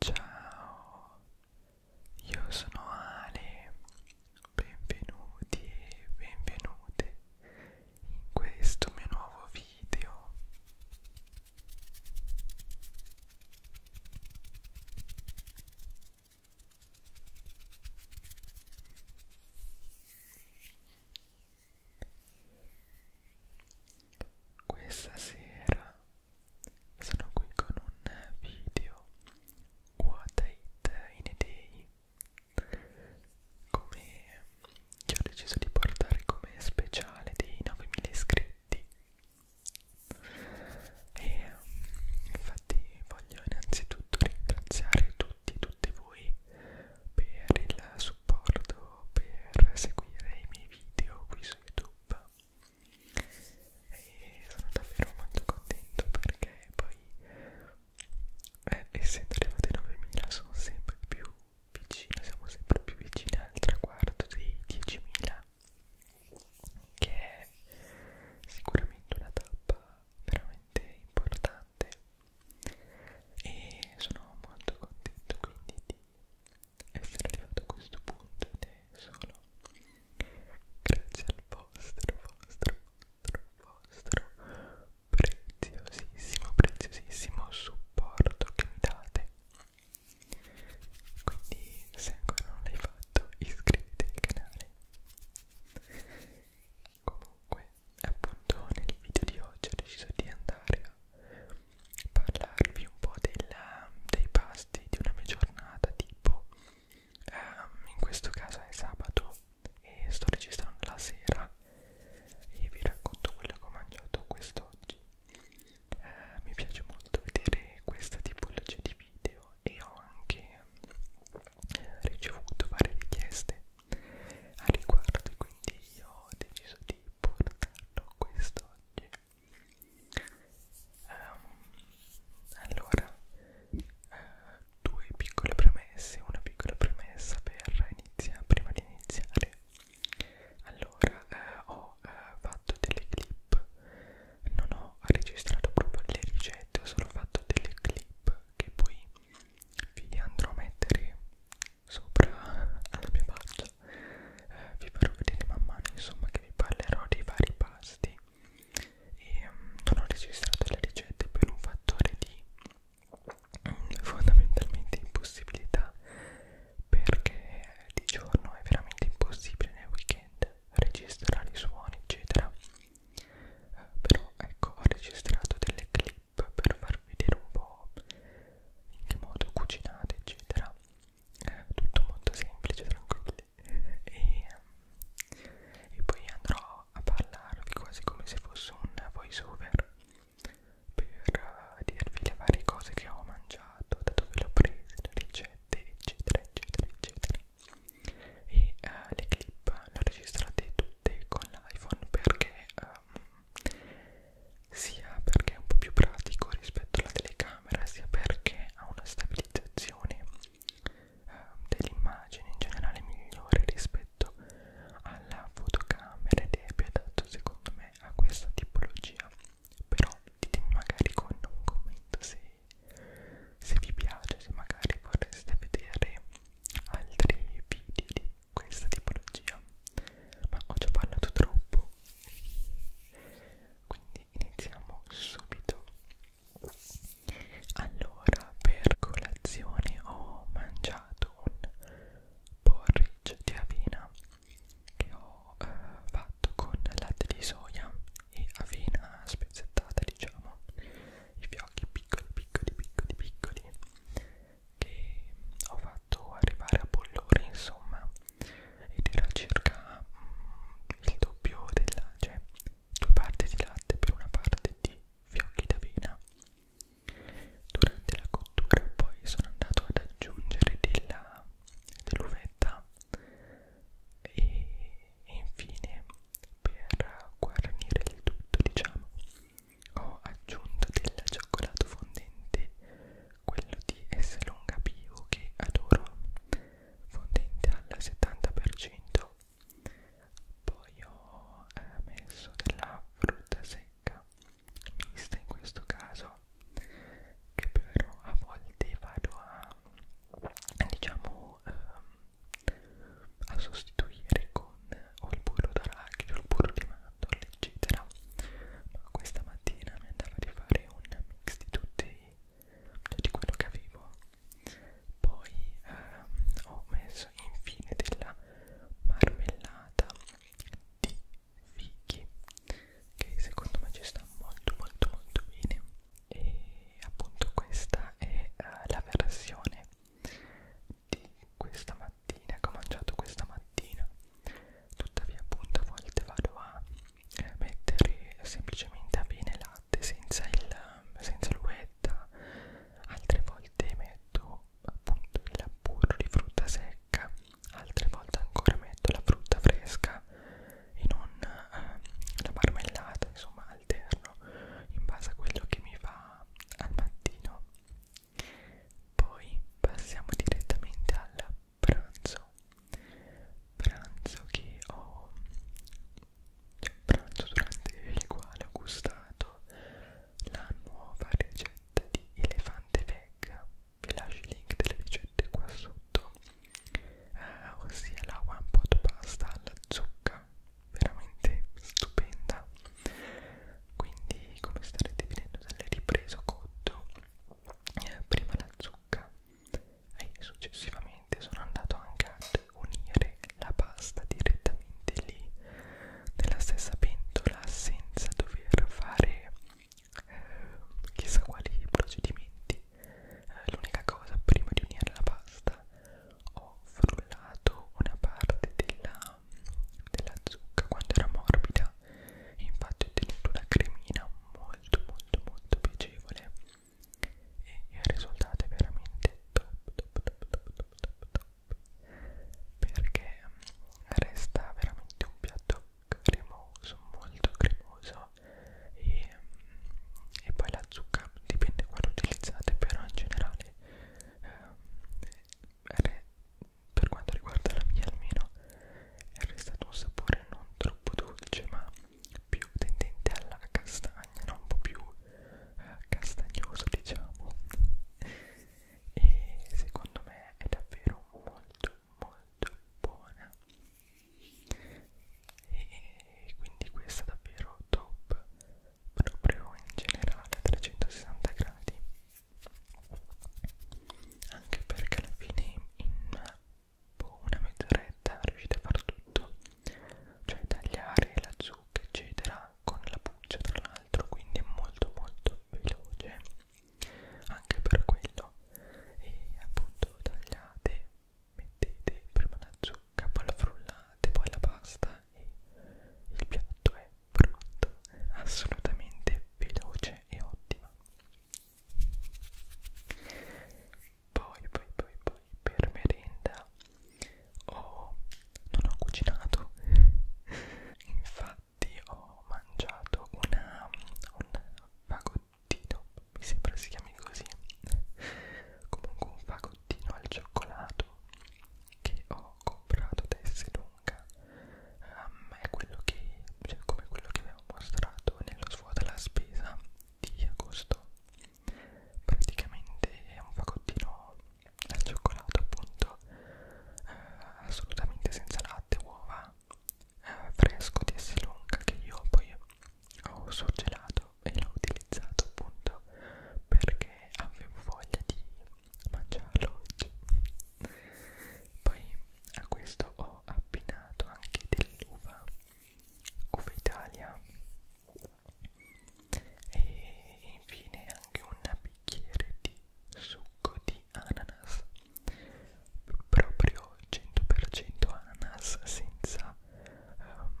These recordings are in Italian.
Ciao, io sono Ale, benvenuti e benvenute in questo mio nuovo video. Questa sera sono qui con un video What I Eat in a Day Come che ho deciso di portare come speciale dei 9000 iscritti E infatti voglio innanzitutto ringraziare tutti e tutte voi per il supporto, per seguire i miei video qui su YouTube e sono davvero molto contento perché poi eh, essendo arrivati ai 9.000 sono sempre più vicino, siamo sempre più vicini al traguardo dei 10.000 che è sicuramente una tappa veramente importante e sono molto contento quindi di essere arrivato a questo punto ed è solo grazie al vostro, vostro, vostro, vostro preziosissimo, preziosissimo supporto che mi date. Quindi se ancora non l'hai fatto iscriviti al canale. Comunque appunto nel video di oggi ho deciso di andare a parlarvi un po' del, dei pasti di una mia giornata tipo ehm, in questo caso è sabato e sto registrando la sera e vi racconto quello che ho mangiato quest'oggi eh, mi piace molto vedere questa tipologia di video e ho anche eh, ricevuto varie richieste a riguardo quindi io ho deciso di portarlo quest'oggi Um, allora, uh, due piccole premesse, una piccola premessa per iniziare, prima di iniziare. Allora, eh, ho eh, fatto delle clip, non ho registrato proprio le ricette, ho solo fatto delle clip che poi vi andrò a mettere sopra alla mia pagina pasta eh, vi farò vedere man mano insomma che vi parlerò dei vari pasti e um, non ho registrato le ricette per un fattore di um, fondamentalmente impossibilità perché eh, di giorno è veramente impossibile nel weekend registrare i suoni eccetera eh, però ecco ho registrato delle clip per farvi vedere un po' in che modo cucinate eccetera tutto molto semplice tranquilli e, ehm, e poi andrò a parlarvi quasi come se fosse un voice over per eh, dirvi le varie cose che ho mangiato da dove le ho prese le ricette eccetera eccetera eccetera e uh, le clip le ho registrate tutte con l'iPhone perché uh, sia perché è un po' più pratico rispetto alla telecamera sia perché ha una stabilizzazione eh, dell'immagine in generale migliore rispetto alla fotocamera ed è più adatto secondo me a questa tipologia però ditemi magari con un commento se, se vi piace se magari vorreste vedere altri video di questa tipologia ma ho già parlato troppo quindi iniziamo subito allora per colazione ho mangiato un porridge di avena che ho eh, fatto con latte di soia e avena spezzettata diciamo i fiocchi piccoli piccoli piccoli piccoli che ho fatto fatto arrivare a bollore insomma ed era circa mm, il doppio della cioè due parti di latte per una parte di fiocchi d'avena durante la cottura poi sono andato ad aggiungere dell'uvetta dell e, e infine per guarnire il tutto diciamo ho aggiunto del cioccolato fondente quello di S Longa Bio che adoro fondente al 70% poi ho eh, messo della frutta secca mista in questo caso che però a volte vado a diciamo ehm, a sostituire con con o il burro d'arachidi o il burro di mandorle eccetera ma questa mattina mi andava di fare un mix di tutti cioè di quello che avevo poi ehm, ho messo infine della marmellata di fichi che secondo me ci sta molto molto molto bene e appunto questa è eh, la versione di questa mattina, che ho mangiato questa mattina. Tuttavia, appunto, a volte vado a eh, mettere semplicemente a bene latte senza l'uvetta, altre volte metto appunto il burro di frutta secca, altre volte ancora metto la frutta fresca e non eh, la marmellata, insomma alterno in base a quello che mi va al mattino poi passiamo direttamente al pranzo. Pranzo che ho cioè, pranzo durante il quale ho gustato la nuova ricetta di elefante veg. Vi lascio i link delle ricette qua sotto. Eh, ossia la one pot pasta alla zucca veramente stupenda quindi come starete vedendo dalle riprese ho cotto eh, prima la zucca e successivamente sono andato anche ad unire la pasta direttamente lì nella stessa pentola senza dover fare eh, chissà quali procedimenti eh, l'unica cosa prima di unire la pasta ho frullato una parte della della, della zucca quando era morbida e infatti ho ottenuto una cremina molto molto molto piacevole e il risultato è veramente top top top top top top, top. perché resta veramente un piatto cremoso molto cremoso e, e poi la zucca dipende quale utilizzate però in generale eh, per quanto riguarda la mia almeno è restato un sapore non troppo dolce ma più tendente alla castagna no? un po' più eh, castagnoso diciamo e secondo me è davvero molto molto buona e quindi questa è davvero top proprio in generale a 360 gradi anche perché alla fine in una mezz'oretta riuscite a fare tutto cioè tagliare la zucca eccetera con la buccia tra l'altro quindi è molto molto veloce anche per quello e appunto tagliate mettete prima la zucca capo alla frullata e poi alla pasta e il piatto è pronto, assolutamente veloce e ottima. Poi, poi, poi, poi per merenda ho, non ho cucinato, infatti ho mangiato una, un fagottino, mi sembra si chiami così, comunque un fagottino biscottino al cioccolato che ho comprato da Esselunga um, è quello che, cioè come quello che vi avevo mostrato nello svuota la spesa di agosto praticamente è un fagottino al cioccolato appunto eh, assolutamente senza latte, uova eh, fresco di Esselunga che io poi ho sorgelato utilizzato e l'ho utilizzato appunto perché avevo voglia di mangiarlo oggi poi a questo ho abbinato anche dell'uva uva Italia e infine anche un bicchiere di succo di ananas proprio 100% ananas senza um,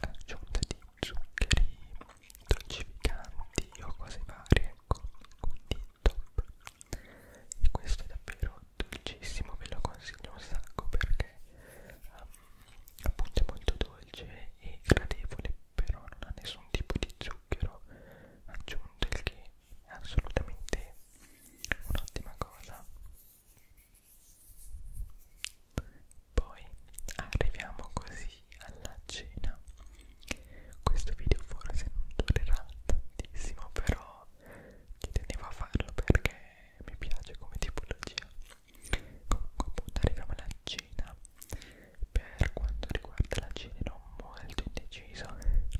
aggiunta di zuccheri, dolcificanti o cose varie con, ecco, con di top e questo è davvero dolcissimo, ve lo consiglio un sacco perché um, appunto è molto dolce e gradevole però non ha nessun tipo di zucchero aggiunto il che è assolutamente un'ottima cosa poi arriviamo così alla cena. Questo video forse non durerà tantissimo, però ci tenevo a farlo perché mi piace come tipologia. Comunque appunto arriviamo alla cena. Per quanto riguarda la cena ero molto indeciso,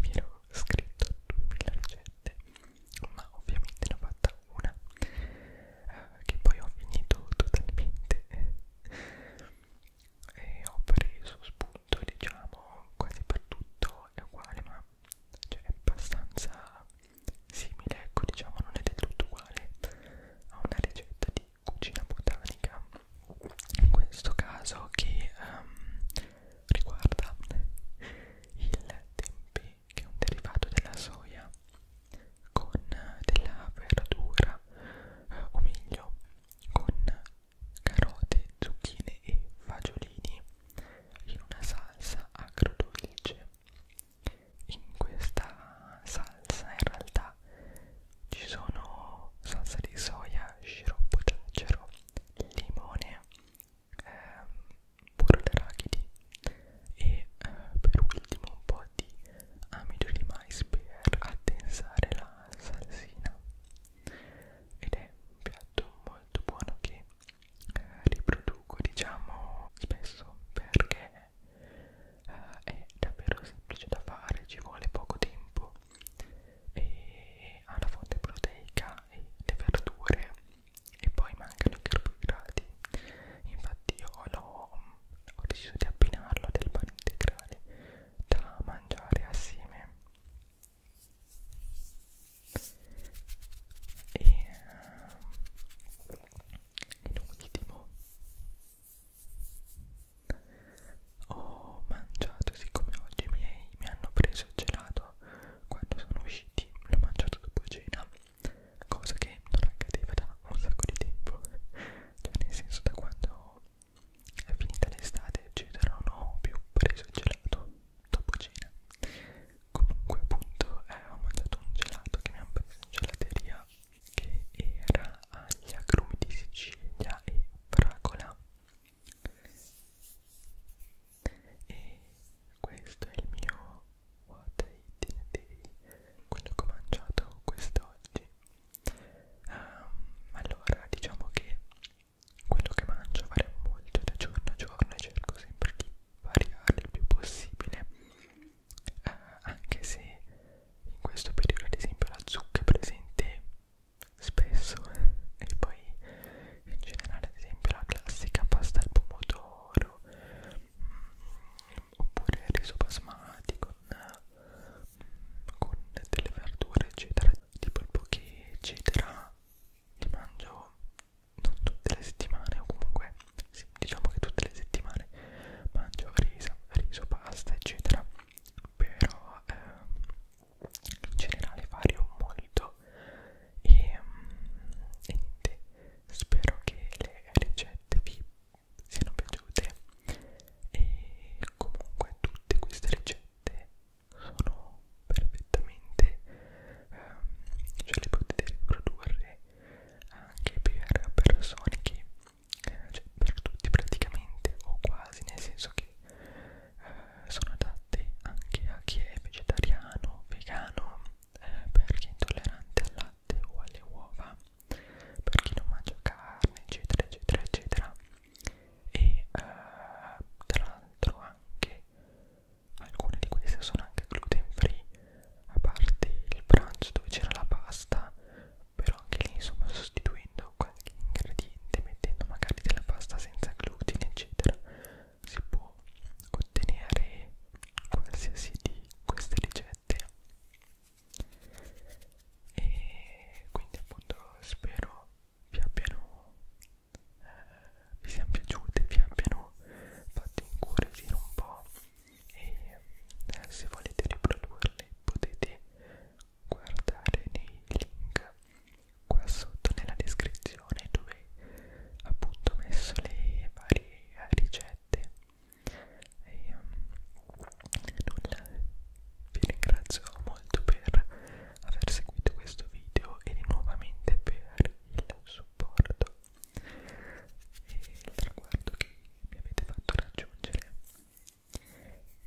mi ero scritto 2000 ricette, ma ovviamente ne ho fatta una eh, che poi ho finito totalmente e ho preso spunto diciamo quasi per tutto è uguale ma cioè, è abbastanza simile ecco diciamo non è del tutto uguale a una ricetta di cucina botanica in questo caso che um, riguarda il tempeh che è un derivato della soia con della verdura eh, o meglio con carote, zucchine e fagiolini in una salsa agrodolce in questa salsa in realtà ci sono salsa di soia, sciroppo d'acero, limone, ehm, pure le rachidi e eh, per ultimo un po' di amido di mais per addensare la salsina ed è un piatto molto buono che eh, riproduco diciamo spesso perché eh, è davvero semplice da fare ci vuole poco tempo e ha la fonte proteica e le verdure e poi mancano i carboidrati infatti io l'ho, ho deciso di abbinarlo del pane integrale da mangiare assieme e ehm, in ultimo ho mangiato siccome oggi mi, mi hanno preso il gelato quando sono usciti l'ho mangiato dopo cena cosa che non accadeva da un sacco di tempo, cioè nel senso da quando è finita l'estate eccetera non ho più preso il gelato dopo cena. Comunque appunto eh, ho mangiato un gelato che mi hanno preso in gelateria che era agli agrumi di Sicilia e fragola e questo è il mio what I eating day quello che ho mangiato quest'oggi um, allora diciamo che quello che mangio varia molto da giorno a giorno e cerco sempre di variare il più possibile uh, anche se in questo periodo ad esempio la zucca è presente spesso e poi in generale ad esempio la classica pasta al pomodoro mm, oppure il riso basmati con, con delle verdure eccetera tipo il poke eccetera li mangio non tutte le settimane o comunque sì, diciamo che tutte le settimane mangio riso, riso pasta eccetera però ehm, in generale vario molto qua e, mm, e niente spero che le ricette vi siano piaciute e comunque tutte queste ricette sono perfettamente ehm, cioè le potete riprodurre anche per persone che eh, cioè per tutti praticamente o quasi nel senso che eh, sono adatti anche a chi è vegetariano, vegano, eh, per chi è intollerante al latte o alle uova, per chi non mangia carne, eccetera, eccetera, eccetera. E eh, tra l'altro anche alcune di queste sono anche gluten free, a parte il pranzo dove c'era la pasta, però anche lì insomma sostituendo qualche ingrediente mettendo magari della pasta senza glutine eccetera si può ottenere qualsiasi di queste ricette e quindi appunto spero vi abbiano eh, vi siano piaciute vi abbiano fatto incuriosire un po' e eh, se volete riprodurle potete guardare nei link qua sotto nella descrizione dove appunto ho messo le varie ricette e um, nulla vi ringrazio molto per aver seguito questo video e nuovamente per il supporto e il traguardo che mi avete fatto raggiungere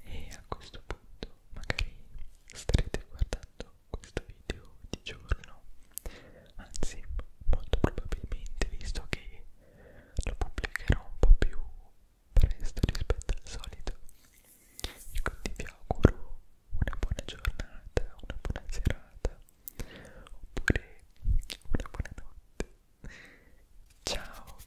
e a questo punto magari starete guardando questo video di giorno anzi molto probabilmente visto che lo pubblicherò un po' più presto rispetto al solito e quindi vi auguro una buona giornata una buona serata oppure una buona notte ciao